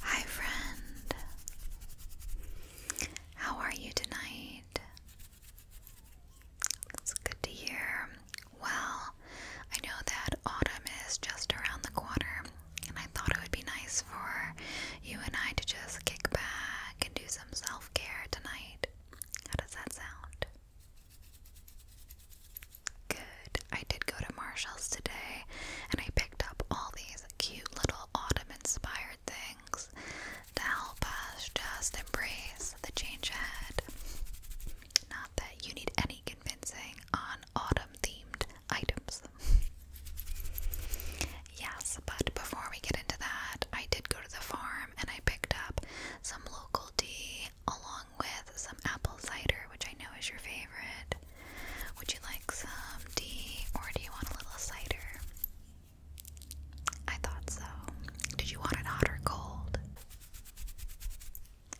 Hi, friend. How are you tonight? It's good to hear. Well, I know that autumn is just around the corner, and I thought it would be nice for you and I to just kick back and do some self care tonight. How does that sound? Good. I did go to Marshall's today and I picked up all these cute little autumn inspired things to help us just embrace the change ahead. Not that you need any convincing on autumn themed items. Yes, but before we get into that, I did go to the farm and I picked up some local tea along with some apple cider, which I know is your favorite. Would you like some tea or do you want a little cider? I thought so. Did you want it hot or cold?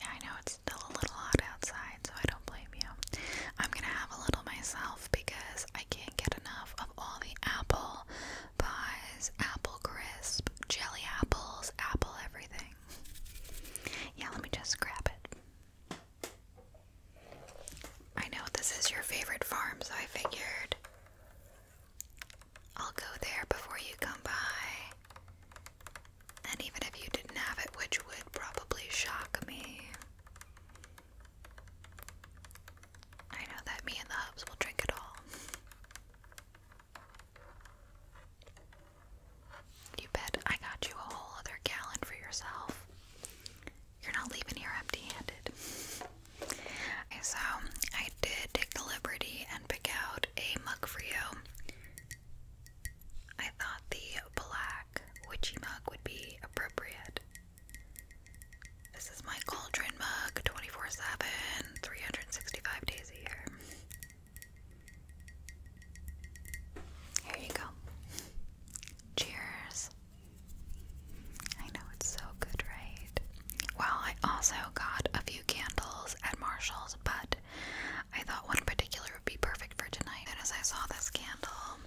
I know it's still a little hot outside, so I don't blame you. I'm gonna have a little myself because I can't get enough of all the apple pies, apple crisp, jelly apples, apple everything. Yeah, let me just grab it. I know this is your favorite farm, so I figured I'll go there before you come by. And even if you didn't have it, which would probably shock me. I know that me and the hubs will drink it all. You bet I got you a whole other gallon for yourself. You're not leaving here empty handed. So, I did take the liberty and pick out a mug for you. I thought the black witchy mug would be appropriate. This is my cauldron mug 24 7, 365 days a year. Here you go. Cheers. I know it's so good, right? Well, I also got a few candles at Marshall's, but I thought one particular would be perfect for tonight. And as I saw this candle,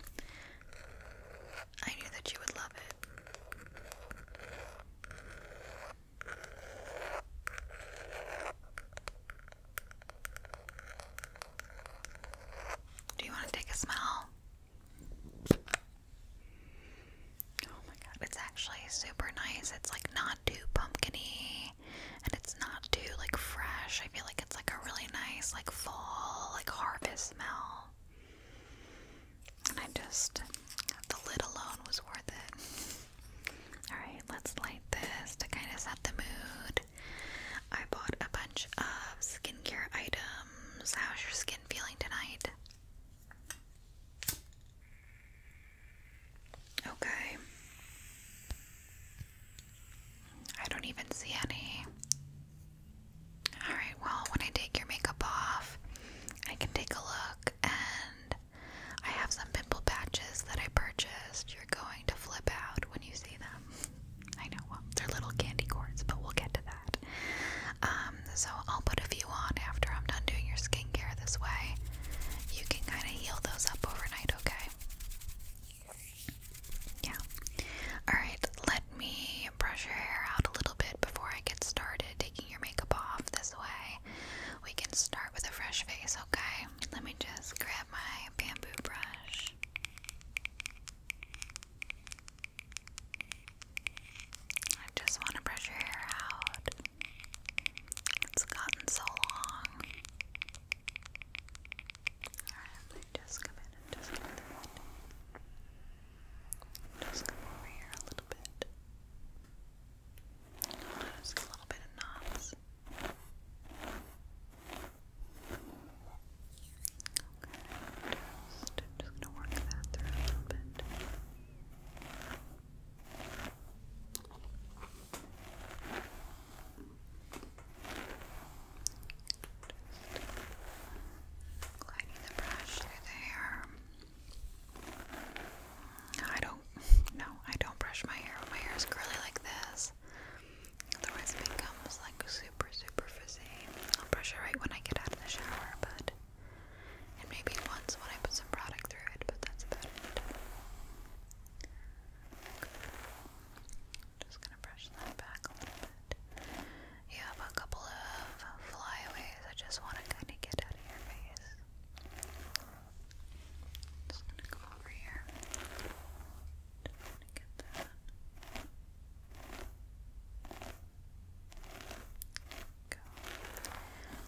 I knew that you would love it. Do you want to take a smell? Oh my god, it's actually super nice. It's like not too pumpkiny and it's not too like fresh. I feel like it's like a really nice like fall, like harvest smell. And I just the lid alone was worth it. Alright, let's light this to kind of set the mood. I bought a bunch of skincare items. How's your skin feeling tonight? Okay. I don't even see any. Alright, well, when I take your makeup off, I can take a look and I have some pimple patches that I purchased. You're going to flip out when you see them. I know, well, they're little candy corns, but we'll get to that. Um, so I'll put a few on after I'm done doing your skincare this way. You can kind of heal those up overnight, okay? Yeah. Alright, let me brush your hair out a little bit before I get started taking your makeup off this way. We can start with a fresh face, okay? let me just grab my bamboo brush. I just want to brush your hair out. It's gotten so long. Alright, let me just come in and Just come over here a little bit. Just a little bit of knots. just, gonna work that through a little bit. gliding the brush through the hair. I don't no, I don't brush my hair when my hair is curly like this. Otherwise, it becomes like super, super frizzy. I'll brush it right when I get out of the shower, but. And maybe once when I put some product through it, but that's about it. Just gonna brush that back a little bit. You have a couple of flyaways I just want to kind of get out of your face. Just gonna go over here. Just gonna get that. Go.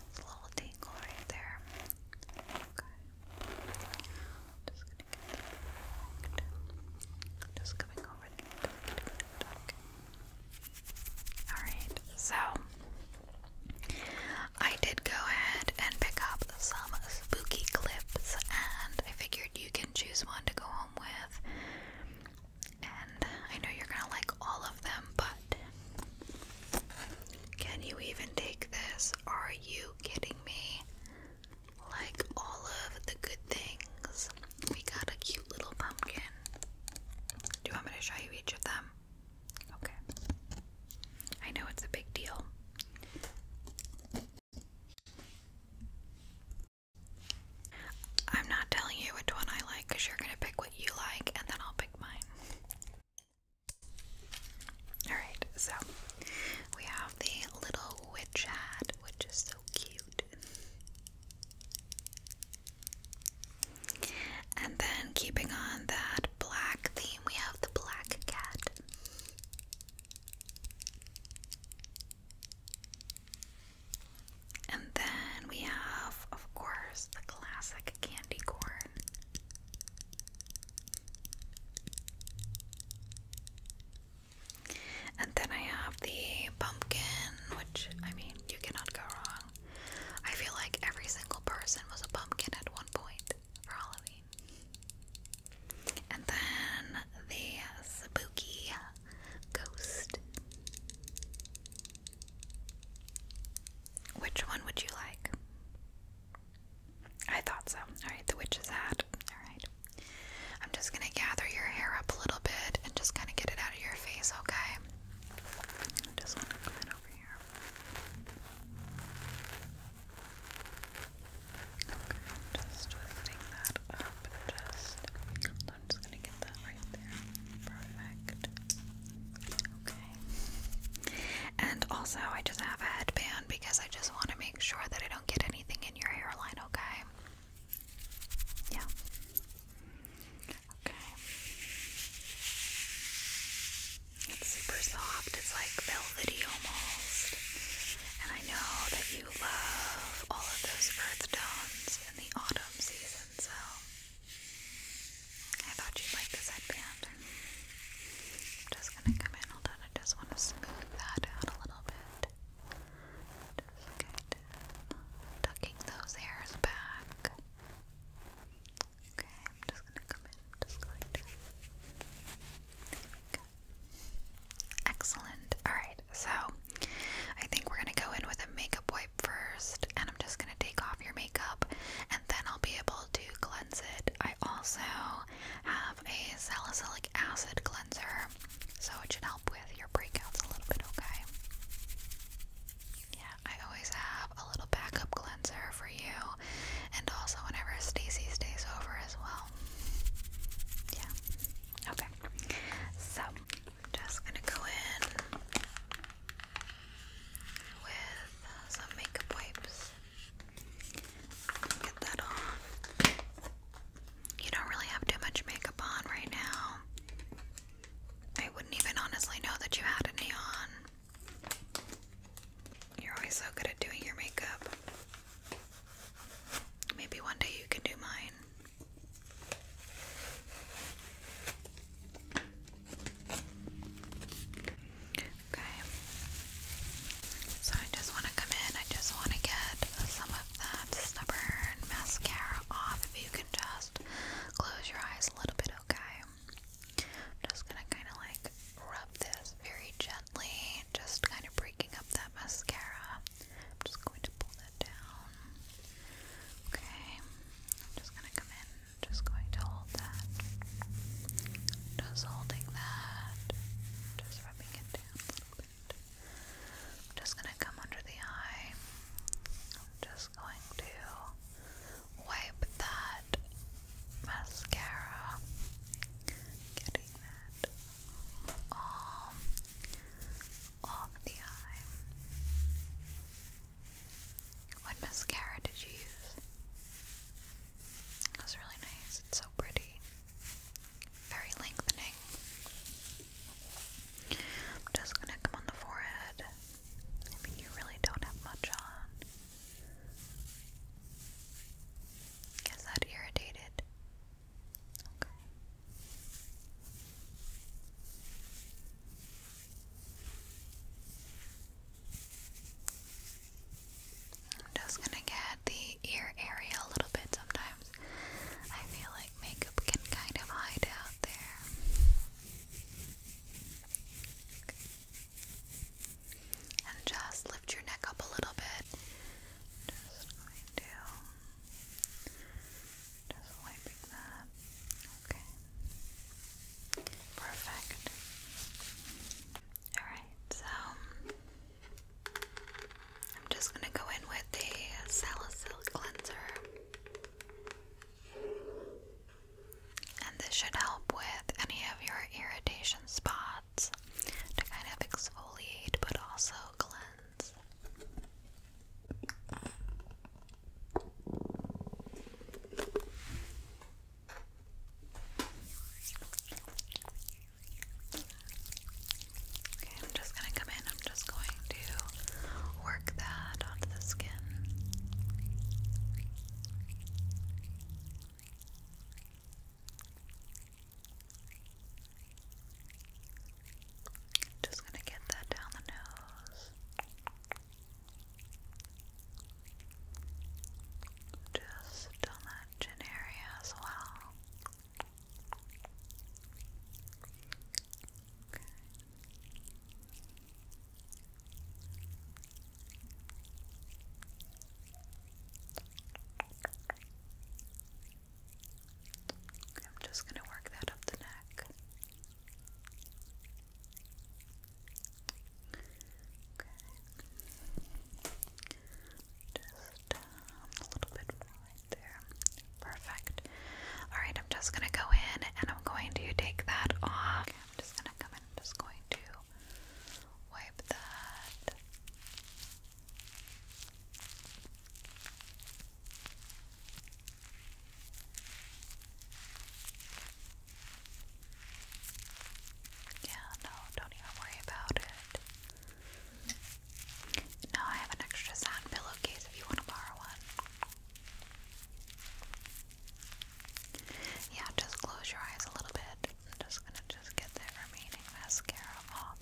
It's a little tingle right there. Okay. Just gonna get Just coming over Okay. Alright, so I did go ahead and pick up some spooky clips, and I figured you can choose one to go home with. And I know you're gonna like all of them, but can you even take this? Are you kidding me? Like all of the good things, we got a cute little pumpkin. Do you want me to show you each of them? Okay. I know it's a big deal. I'm not telling you which one I like because you're going to pick what you like and then I'll pick mine. Alright, so we have the little witch hat, which is so cute. And then, keeping on that black theme, we have the black cat. And then we have, of course, the classic candy corn. And then I have the pumpkin, which I mean, you cannot go wrong. I feel like every single person was a pumpkin at one point for Halloween. And then the spooky ghost. Which one would you like? I thought so. Alright, the witch's hat. Alright. I'm just gonna gather your hair up a little bit and just kind of get it out of your face, okay? just twisting that up just I'm just gonna get that right there. Perfect. Okay. And also I just have a headband because I just want to make sure that I don't get anything in your hairline, okay? Yeah. Okay. It's super soft. It's like velvety almost. And I know that you love all of those earth tones in the autumn season, so I thought you'd like this headband. I'm just gonna come in, hold on, I just wanna smooth that out a little bit. Just Tucking those hairs back. Okay, I'm just gonna come in. just going to. Excellent. Alright, so I think we're gonna go in with a makeup wipe first, and I'm just gonna take off your makeup, and then I'll be able to cleanse it. I also have a salicylic acid cleanser, so it should help with your breakouts a little bit, okay? Yeah, I always have a little backup cleanser for you and also whenever Stacy stays over as well. Yeah. Okay. So just gonna go in with some makeup wipes. Get that off. You don't really have too much makeup on right now. I wouldn't even honestly know that you had any on. You're always so good at doing your makeup. Maybe one day you can do mine. Okay. So I just want to come in, I just want to get some of that stubborn mascara off. If you can just close your eyes a little bit, okay? just gonna kind of like rub this very gently, just kind of breaking up that mascara. just going to pull that down. Okay, just gonna come in, just going to hold that. Just holding that, just rubbing it down just gonna come under the eye. just going to wipe that mascara, getting that off the eye. What mascara did you use? It was really nice. It's so pretty. Very lengthening. I'm just gonna come on the forehead. you really don't have much on. Is that irritated? Okay. I'm just gonna get the ear area a little bit sometimes. I feel like makeup can kind of hide out there. And just lift your neck up a little bit. Just going to just wiping that. Okay. Perfect. Alright, so I'm just gonna go in with the salicylic cleanser. And this should help with any of your irritation spots to kind of exfoliate but also cleanse. Okay, I'm just going to come in. I'm just going to work that onto the skin. Just going to get that down the nose. Just on that chin area as well. Okay. I'm just going to work that up the neck. Just um, a little bit right there. Perfect. Alright, I'm just going to go in and I'm going to take that off. I'm just going to come in. I'm just going to wipe that. Yeah, no, don't even worry about it. Now I have an extra sound pillowcase if you want to borrow one. Yeah, just close your eyes a little bit. I'm just gonna just get that remaining mascara off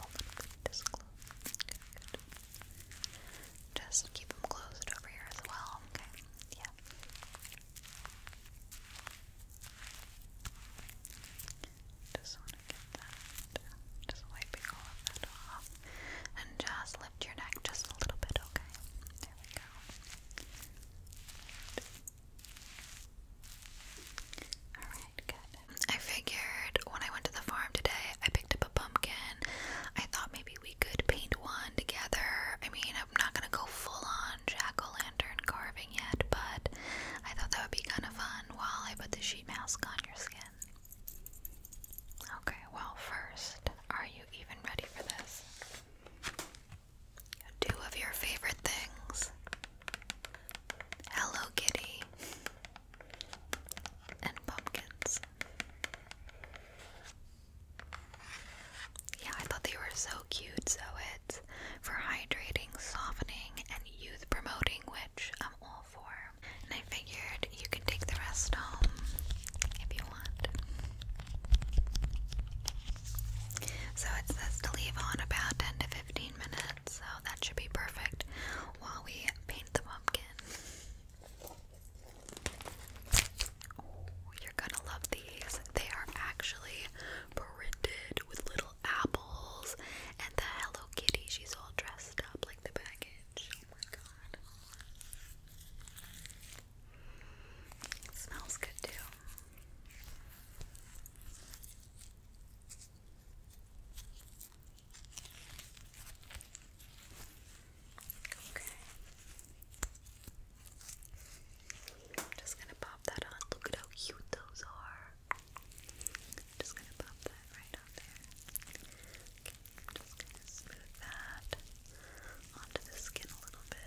Just keep them closed over here as well. Okay. Yeah. Just want to get that. Just wiping all of that off. And just lift your neck just a little bit, okay? There we go. I figured when I went to the farm today, I picked up a pumpkin. I thought maybe we could paint one together. I mean, I'm not gonna go full on jack o' lantern carving yet, but I thought that would be kind of fun while I put the sheet mask on your skin. Okay, well, first, are you even ready for this? Two of your favorite things Hello Kitty and pumpkins. Yeah, I thought they were so cute, so it's for hydrating, softening, and youth promoting, which I'm all for. And I figured you could take the rest home if you want. So it says to leave on about to 15 minutes, so that should be perfect while we paint the pumpkin. you're gonna love these. They are actually printed with little apples and the Hello Kitty. She's all dressed up like the package. Oh smells good too. Okay. I'm just gonna pop that on. Look at how cute those are. just gonna pop that right on there. just gonna smooth that onto the skin a little bit.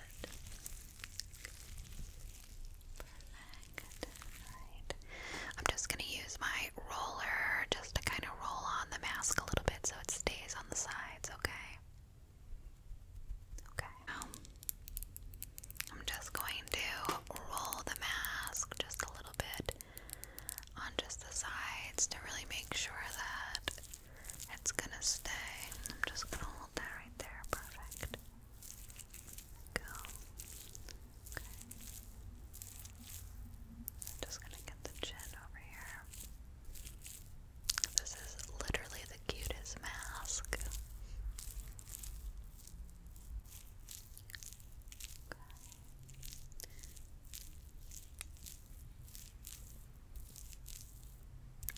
I'm just gonna use my roller just to kind of roll on the mask a little bit so it stays on the sides, okay? Okay. I'm just going to roll the mask just a little bit on just the sides to really make sure that it's gonna stay. I'm just gonna hold that right there. Perfect go. Okay. just gonna get the chin over here. This is literally the cutest mask.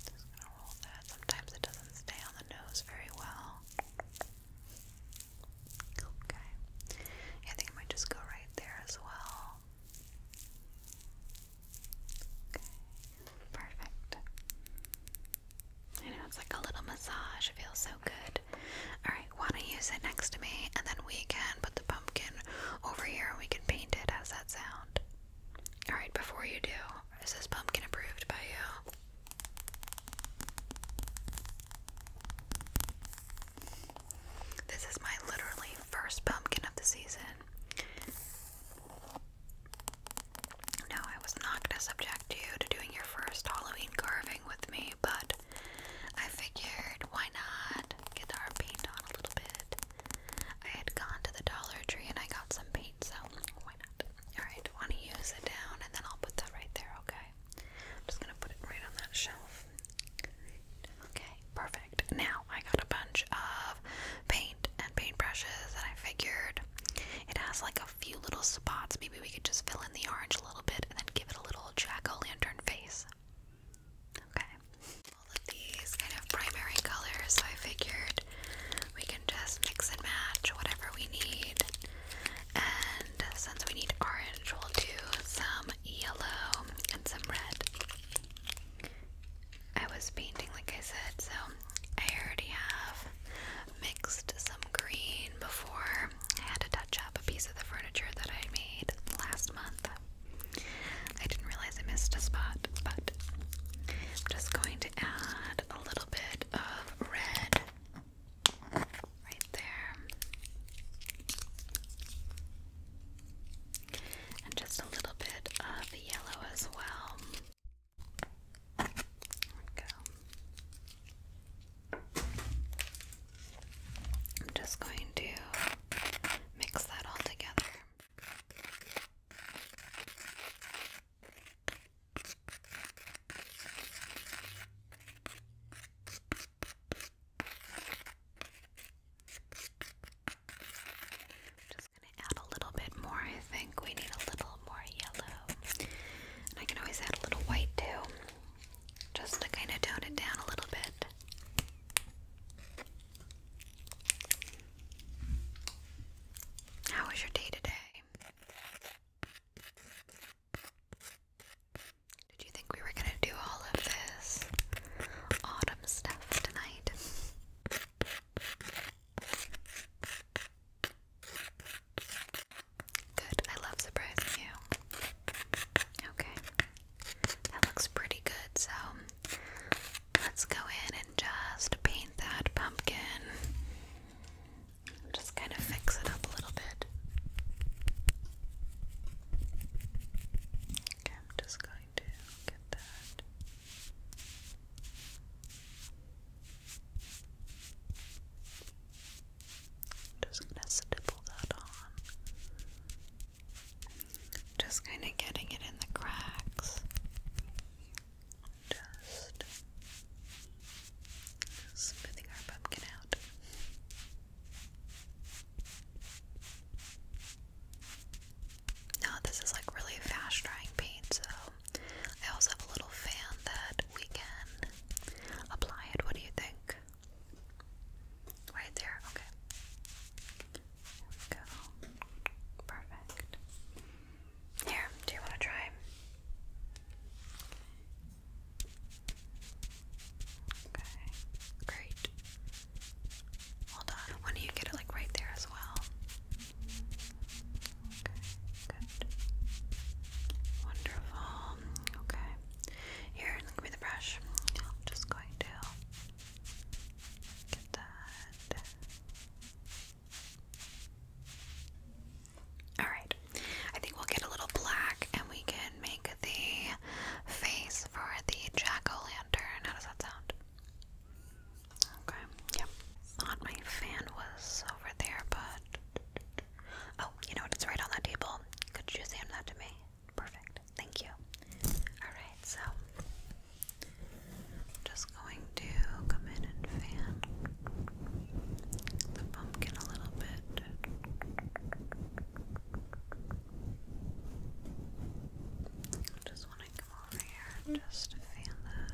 Just gonna roll that. Sometimes it doesn't stay on the nose very well. Okay. I think I might just go right there as well. Okay. Perfect. I know it's like a little massage. It feels so good. Alright, wanna use it next to me and then we can put the pumpkin over here and we can paint it. How's that sound? Alright, before you do, is this pumpkin approved by you? This is my literally first pumpkin of the season. No, I was not going to subject you to doing your first Halloween carving with me, but I figured why not get our paint on a little bit. I had gone to the Dollar Tree and I got some paint, so why not? Alright, want to use it down and then I'll put that right there, okay? I'm just gonna put it right on that shelf. Okay, perfect. Now I got a bunch of paint and paint brushes and I figured it has like a few little spots. Maybe we could just fill in the orange a little bit and then give it a little jack-o'-lantern face. Okay. All of these kind of primary colors, I figured we just mix and match whatever we need. And since we need orange, we'll do some yellow and some red. I was painting, like I said, so I already have mixed some green before. I had to touch up a piece of the furniture that I made last month. I didn't realize I missed a spot, but I'm just going to add a little bit of red right there, and just a little bit of yellow as well. I'm just going to mix that all together. Just gonna add a little bit more. I think we need a little more yellow, I can always add a little white too, just to kind of tone it down a little bit. How was your day today? Did you think we were gonna do all of this autumn stuff tonight? Good, I love surprising you. Okay, that looks pretty good, so let's go in and just paint that pumpkin. Just kind of fix it up a little bit. Okay, I'm just going to get that. Just gonna stipple that on. Just kind of getting it in the cracks. Just smoothing our pumpkin out. Now, this is like really fast drying paint, so I also have a little fan that we can apply it. What do you think? Right there, okay. go. Perfect. Here, do you want to try? Okay, great. Hold on. Why don't you get it like right there as well? Okay, good. Wonderful. Okay. Here, give me the brush. I'm just going to get that. Alright, I think we'll get a little black and we can make the face for the jack o' lantern. How does that sound? Okay, yep. Thought my fan was over there, but. Oh, you know what? It's right on that table. Could you hand that to me? Perfect. Thank you. Alright, so. Just going to come in and fan the pumpkin a little bit. I just want to come over here and just fan that.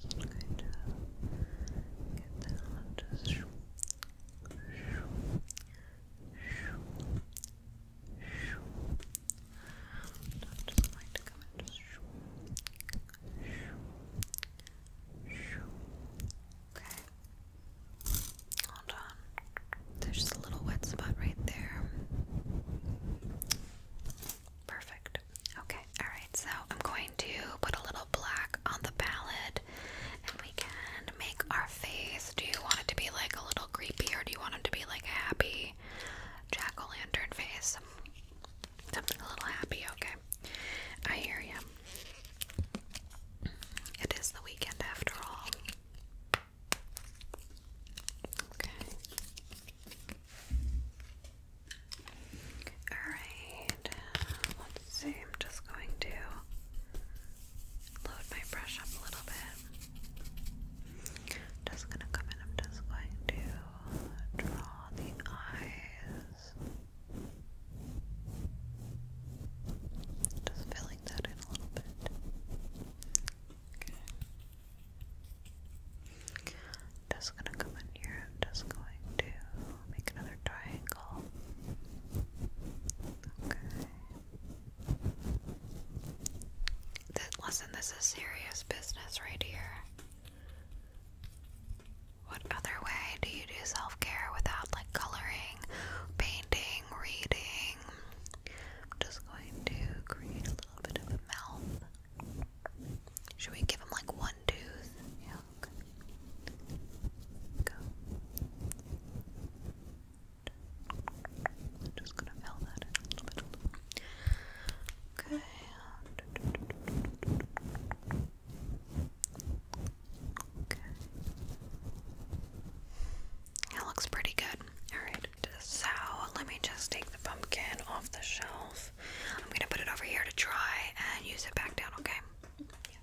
just going to get that just shoo, shoo, shoo, Okay. Hold on. There's just a little wet spot right there. Perfect. Okay, alright, so I'm going to put a little black on the palette and we can make our face. Do you want it to be like a little creepy or do you want it to be like happy? jack o' lantern face. Something a little happy, okay? I hear you. It is the weekend after all. Okay. Alright. Let's see. I'm just going to load my brush up a little bit. I'm just gonna come in, I'm just going to draw the eyes. Just filling that in a little bit. Okay. Just gonna come in here, I'm just going to make another triangle. Okay. That, listen, this is serious business right here. What other way do you do self care without like coloring, painting, reading? I'm just going to create a little bit of a mouth. Should we give him like one tooth? Yeah, okay. Go. I'm just gonna fill that in a little bit, Okay. Okay. That looks pretty good. Alright, so let me just take the pumpkin off the shelf. I'm gonna put it over here to dry and use it back down, okay? Yeah.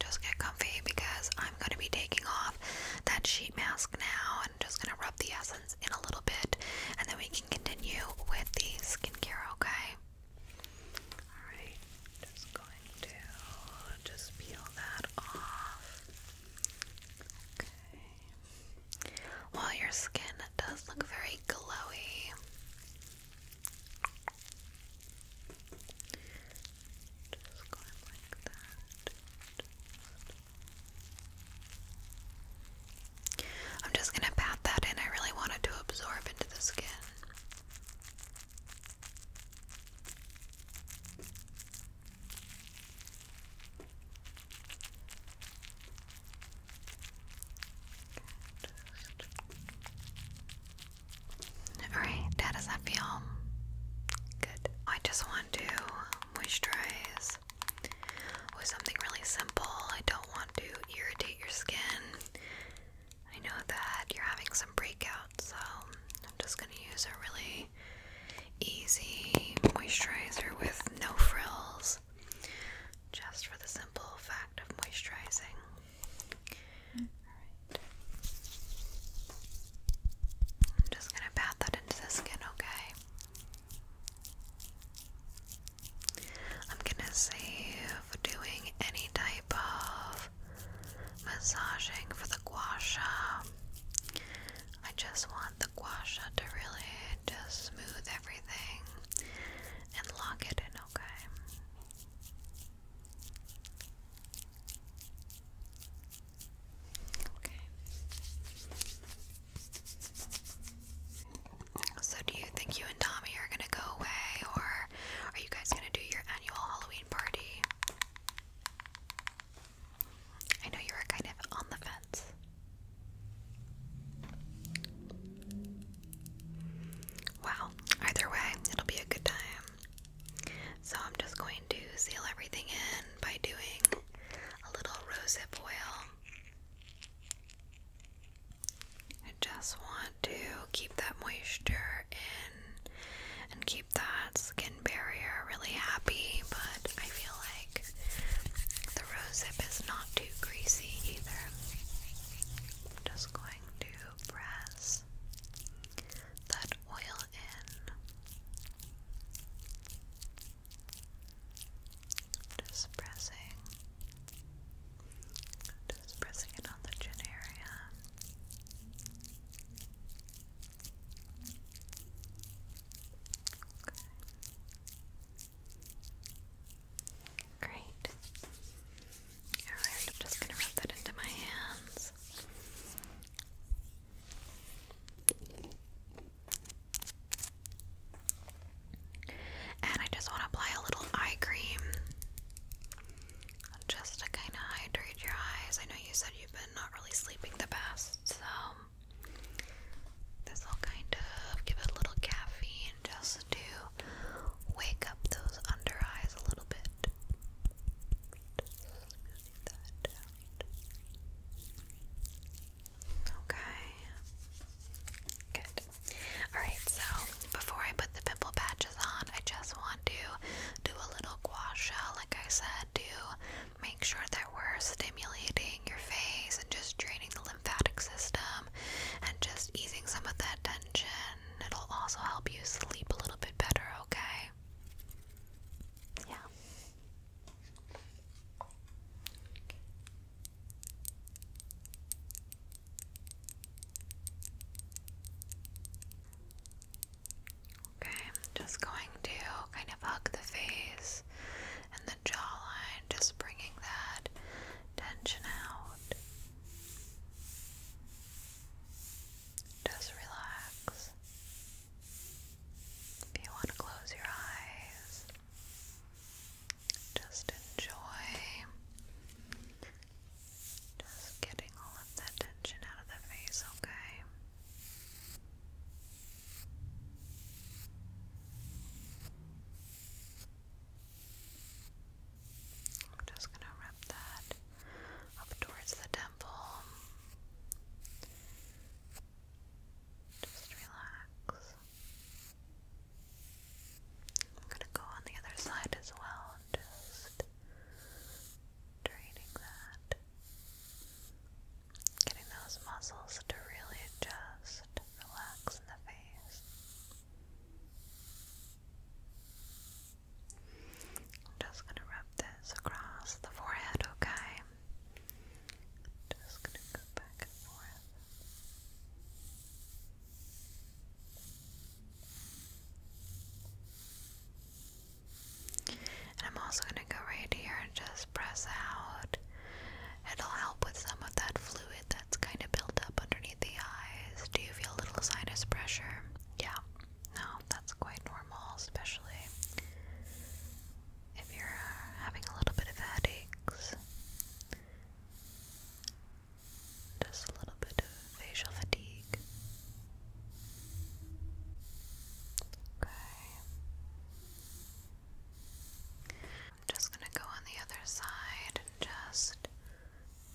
Just get comfy because I'm gonna be taking off that sheet mask now and just gonna rub the essence in a little bit and then we can continue with the skincare, okay? Alright, just going to just peel that off. Okay. Well, your skin does look very glowy. Just going like that. I'm just going to pat that in. I really wanted to absorb into the skin. Alright, how does that feel? Good. I just to moisturize with something really simple. I don't want to irritate your skin. I know that you're having some breakouts, so I'm just going to use a really easy moisturizer with no frills just for the simple fact of moisturizing. I'm just going to pat that into the skin, okay? I'm gonna save doing any type of massaging for the guasha. I just want the guasha to really just smooth everything and lock it in, okay? So, do you think you and Tommy are gonna go away, or are you guys gonna do your annual Halloween party? I know you were kind of on the fence. Wow, either way, it'll be a good time. So, I'm just going to seal everything in by doing a little rosehip oil. I just want to keep that moisture in and keep that skin barrier really happy, but I feel like the rosehip is not too greasy either. just going to press that oil in. Just pressing, just pressing it on the chin area. Great. Alright, I'm just gonna rub that into my hands. And I just want to apply a little eye cream just to kind of hydrate your eyes. I know you said you've been not really sleeping the best, so this will kind of give it a little caffeine just to wake up those under eyes a little bit. Okay. Good. Alright, so before I put the pimple patches on, I just want to do a little gua sha, like I said, to make sure that we're stimulating your face and just draining the lymphatic system and just easing some of that tension. It'll also help you sleep a little bit better, okay? Yeah. Okay, just going to kind of hug the face and the jawline, just bringing that tension out. Just relax. If you want to close your eyes, just enjoy just getting all of that tension out of the face, okay? I'm just going to wrap that up towards the temple. Just relax. I'm gonna go on the other side as well just draining that. Getting those muscles to really just relax in the face. I'm just gonna rub this across the forehead, okay? Just gonna go back and forth. And I'm also going to go right here and just press out. It'll help with some of that fluid that's kind of built up underneath the eyes. Do you feel a little sinus pressure? Yeah. No, that's quite normal, especially if you're uh, having a little bit of headaches, just a little bit of facial fatigue. Okay. I'm just going to go on the other side and just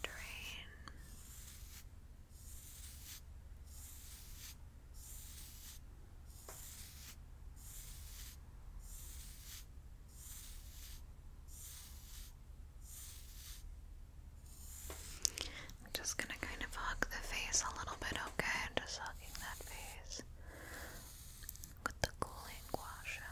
drain. I'm just going to kind of hug the face a little bit, okay? I'm just hugging that face with the cooling washer.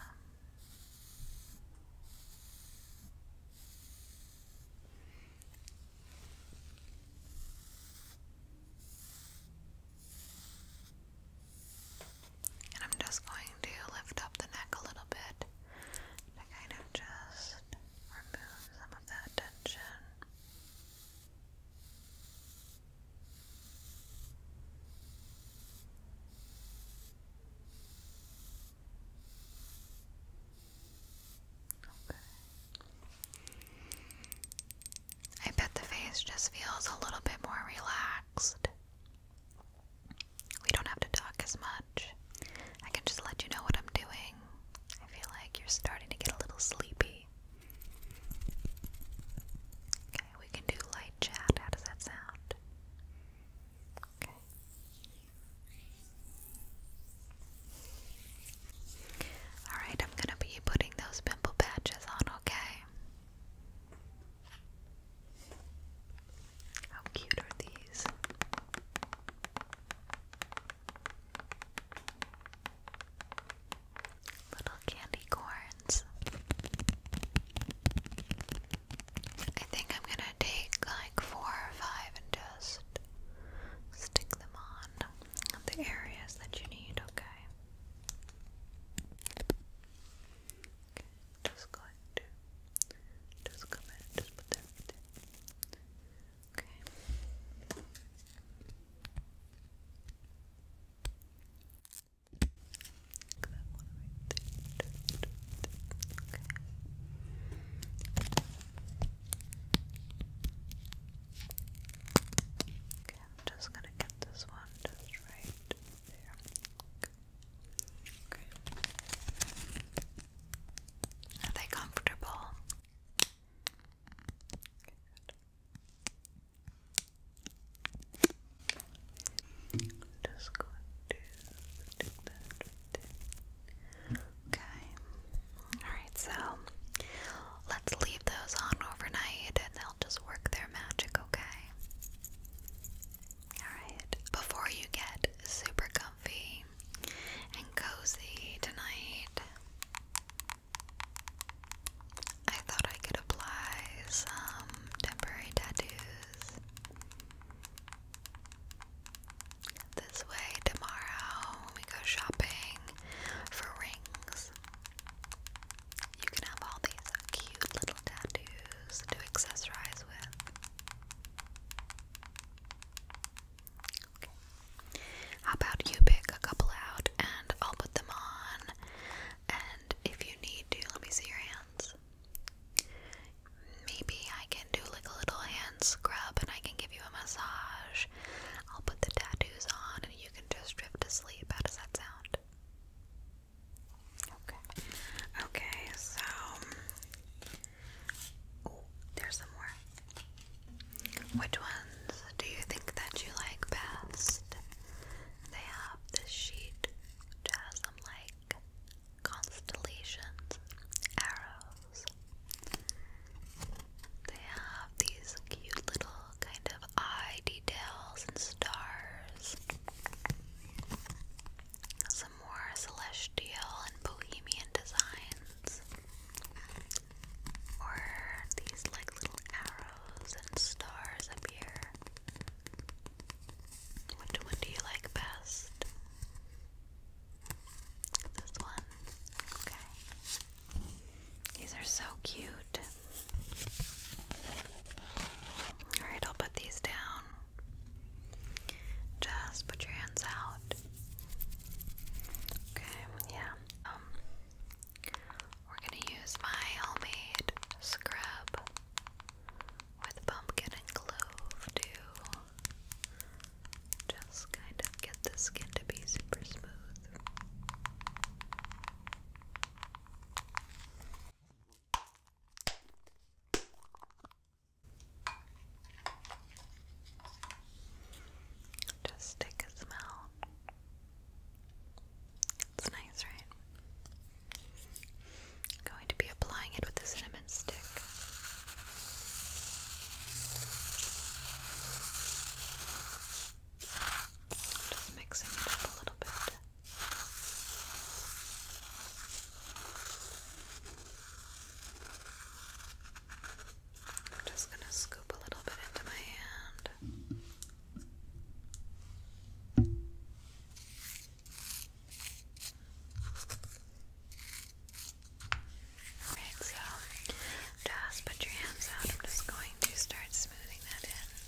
I'm just going to lift up the neck a little bit to kind of just remove some of that tension. Okay. I bet the face just feels a little bit more relaxed. We don't have to talk as much. I can just let you know what I'm doing. I feel like you're starting to get a little sleepy. Okay, we can do light chat. How does that sound? Okay. Alright, I'm gonna be putting those pimple patches on, okay? How cute are these? Little candy corns. I think I'm gonna take like four or five and just stick them on the areas that you need, okay? Okay, just going to just come in just put that right Okay. Look Okay, I'm just gonna get this one just right Are they comfortable? Okay. Alright, so let's leave those on overnight and they'll just work their magic, okay? Alright, before you get super comfy and cozy tonight, I thought I could apply some temporary tattoos. This way, tomorrow we go shopping for rings. You can have all these cute little tattoos to accessorize with. How about you pick a couple out and I'll put them on? And if you need to, let me see your hands. Maybe I can do like a little hand scrub and I can give you a massage. I'll put the tattoos on you can just drift to sleep. How does that sound? Okay. Okay, so there's some more. Which ones do you think that you like best? They have this sheet which like constellations, arrows. They have these cute little kind of eye details and stars. Some more celestial and bohemian designs. Or these like little arrows and stars up here. Which one do you like best? This one. Okay. These are so cute. Alright, I'll put these down. Just put your hands out. Okay, yeah. Um we're gonna use my homemade scrub with pumpkin and clove to just kind of get the skin to be super smooth. Just take a smell. It's nice, right? I'm going to be applying it with the cinnamon stick. Just mixing it up a little bit. I'm just going to scoop a little bit into my hand. Alright, so just put your hands out. I'm just going to start smoothing that in.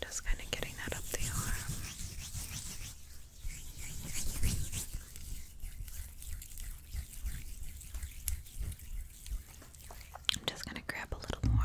Just kind of getting that up the arm. I'm just going to grab a little more.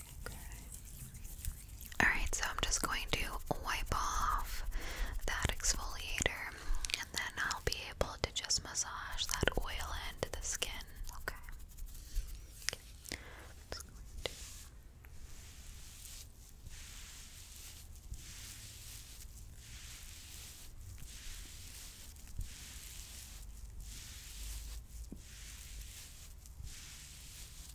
Alright, so I'm just going to wipe off that exfoliator and then I'll be able to just massage that oil into the skin. Okay.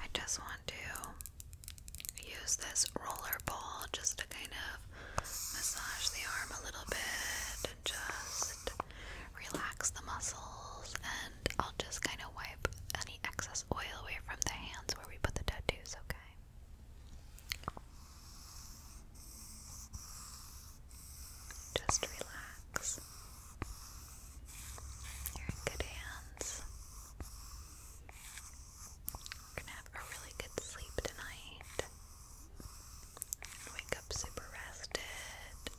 I just want to use this roller ball just to kind of massage the arm a little bit and just relax the muscles and I'll just kind of wipe any excess oil away from the hands where we put the tattoos, okay? Just relax. You're in good hands. You're gonna have a really good sleep tonight. Wake up super rested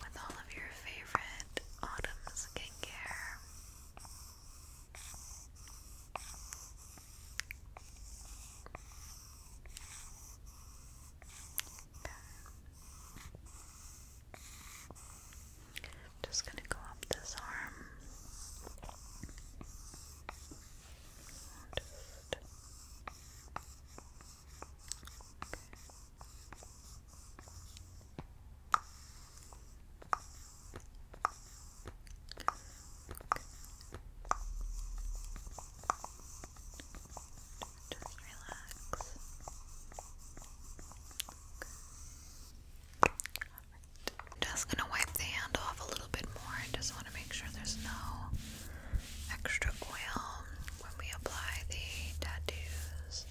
with all of your favorite autumn skincare. I'm just going to go up this arm. Just relax. Just gonna wipe the hand off a little bit more. I just want to make sure there's no extra oil when we apply the tattoos.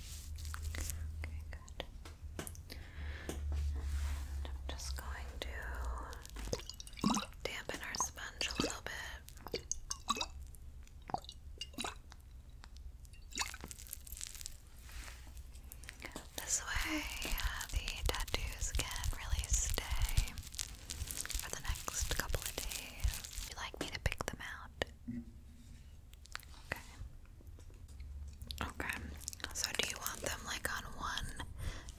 Okay, good. I'm just going to dampen our sponge a little bit. This way, uh, the tattoos can really stay for the next couple of days. you like me to pick them out? Okay. Okay. So, do you want them like on one,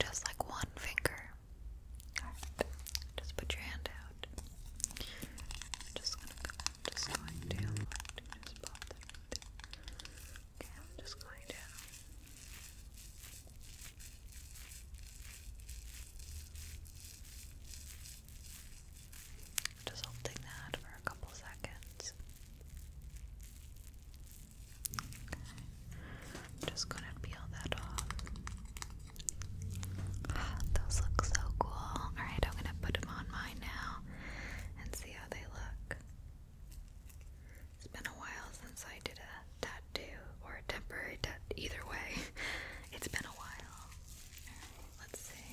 just like one finger? just put your hand out. just going to, just going to just pop Okay, I'm just going to. Just holding that for a couple seconds. Okay. I'm just gonna peel that off. Those look so cool. Alright, I'm gonna put them on mine now and see how they look. It's been a while since I did a tattoo or a temporary tattoo. Either way, it's been a while. let's see.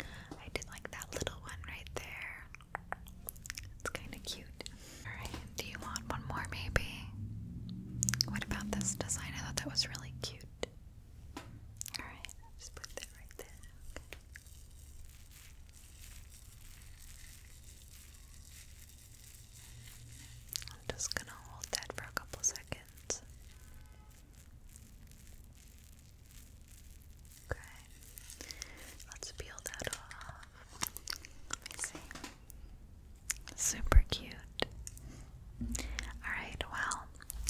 I did like that little one right there. It's kind of cute. Alright, do you want one more maybe? What about this design? I thought that was really cute. Alright, just put that right there. I'm just gonna hold that for a couple seconds. Okay, let's peel that off. Let me see. Super cute. Alright, well,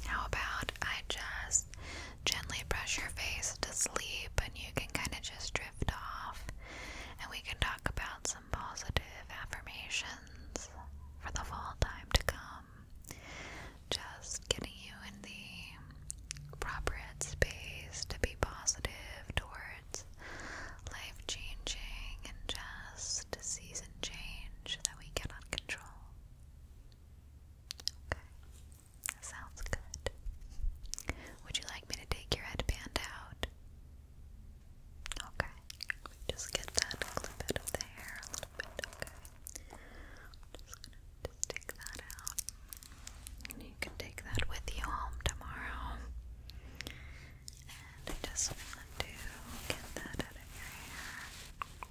how about I just gently brush your face to sleep and you can kind of just drift off and we can talk about some positive affirmations for the fall time to come. Just getting you in the appropriate space to be positive towards life changing and just change that we cannot control. Okay, sounds good. Would you like me to take your headband out? Okay, just get that a little of the hair, a little bit, okay. just gonna take that out. And you can take that with you home tomorrow. I just want to get that out of your hair.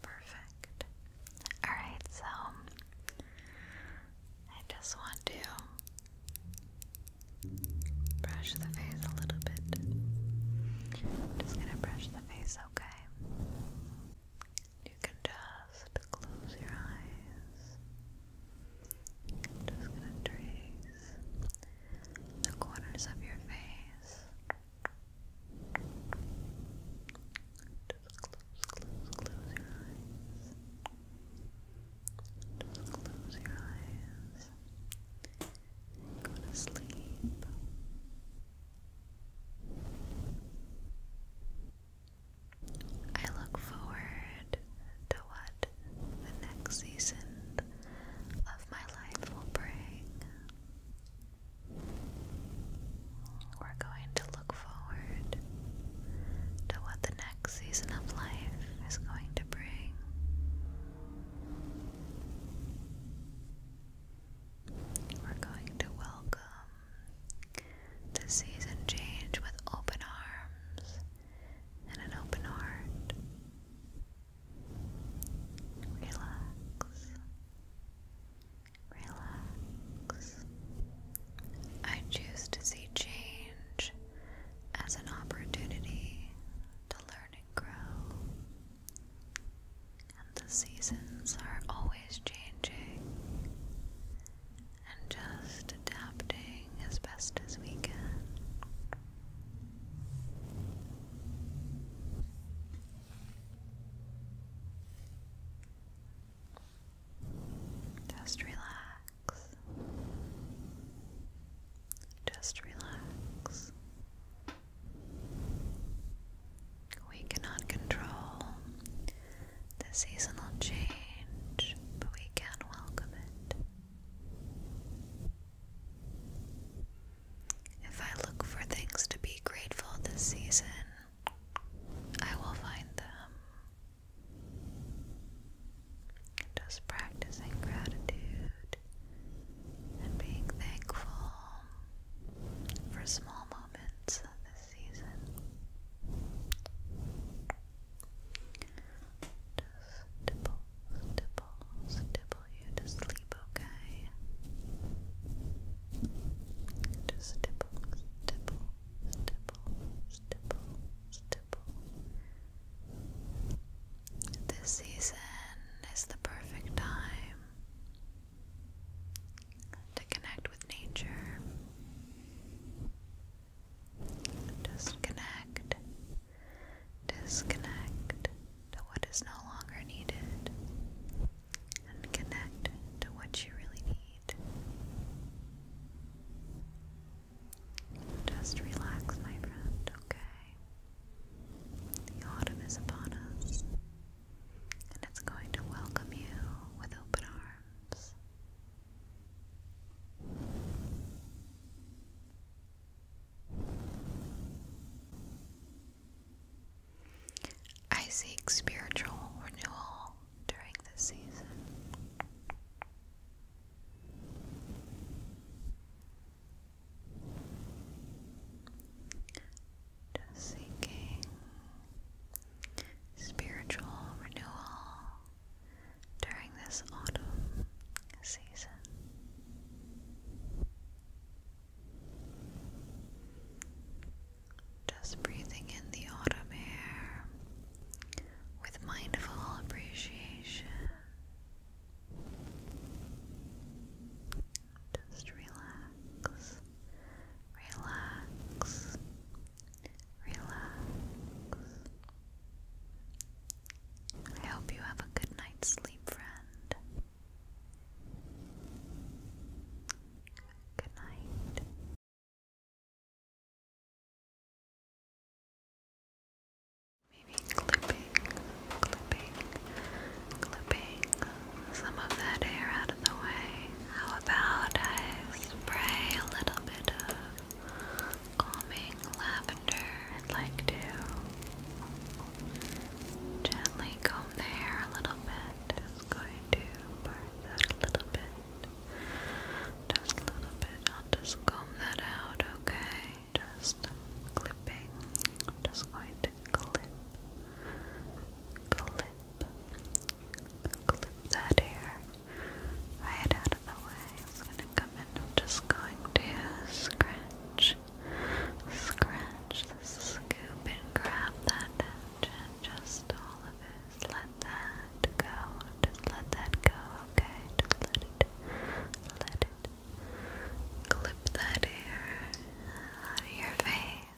Perfect. Alright, so I just want to brush the face a little bit. just gonna brush the face, okay? You can just close your eyes. Just gonna trace the corners of your face. Just close, close, close your eyes. Just close your eyes. go to sleep. I look forward to what the next season of my life will bring. We're going to look forward to what the next season of life is going to bring. We're going to welcome the season change with open arms and an open heart. Relax. Relax. I choose to see change as an opportunity to learn and grow. And the seasons are always changing, and just adapting as best as we can. Just relax. Just relax. We cannot control the seasonal change, but we can welcome it. If I look for things to be grateful this season, I will find them. Just practicing gratitude and being thankful for small moments this season. Just stipple, stipple, stipple you to sleep, okay? Just stipple, stipple, stipple, stipple, stipple. This season is the perfect time to connect with nature. Disconnect. Disconnect to what is no longer needed and connect to what you really need. Just relax, my friend, okay? The autumn is upon us and it's going to welcome you with open arms. I seek spiritual renewal during this season. Just seeking spiritual renewal during this autumn season. Just breathing in the autumn air with mindful appreciation. Just relax, relax, relax. I hope you have a good night's sleep, friend. Good night. Maybe clipping, clipping, clipping some of that hair out of the way. How about I spray a little bit of calming lavender. I'd like to gently comb the hair a little bit. Just going to part that a little bit. Just a little bit. I'll just comb that out, okay? Just clipping. just going to clip. Clip. Clip that hair right out of the way. I'm just going to scratch, scratch scoop and grab that edge just all of it. let that go. Just let that go, okay? let it, let it. Clip that hair out of your face.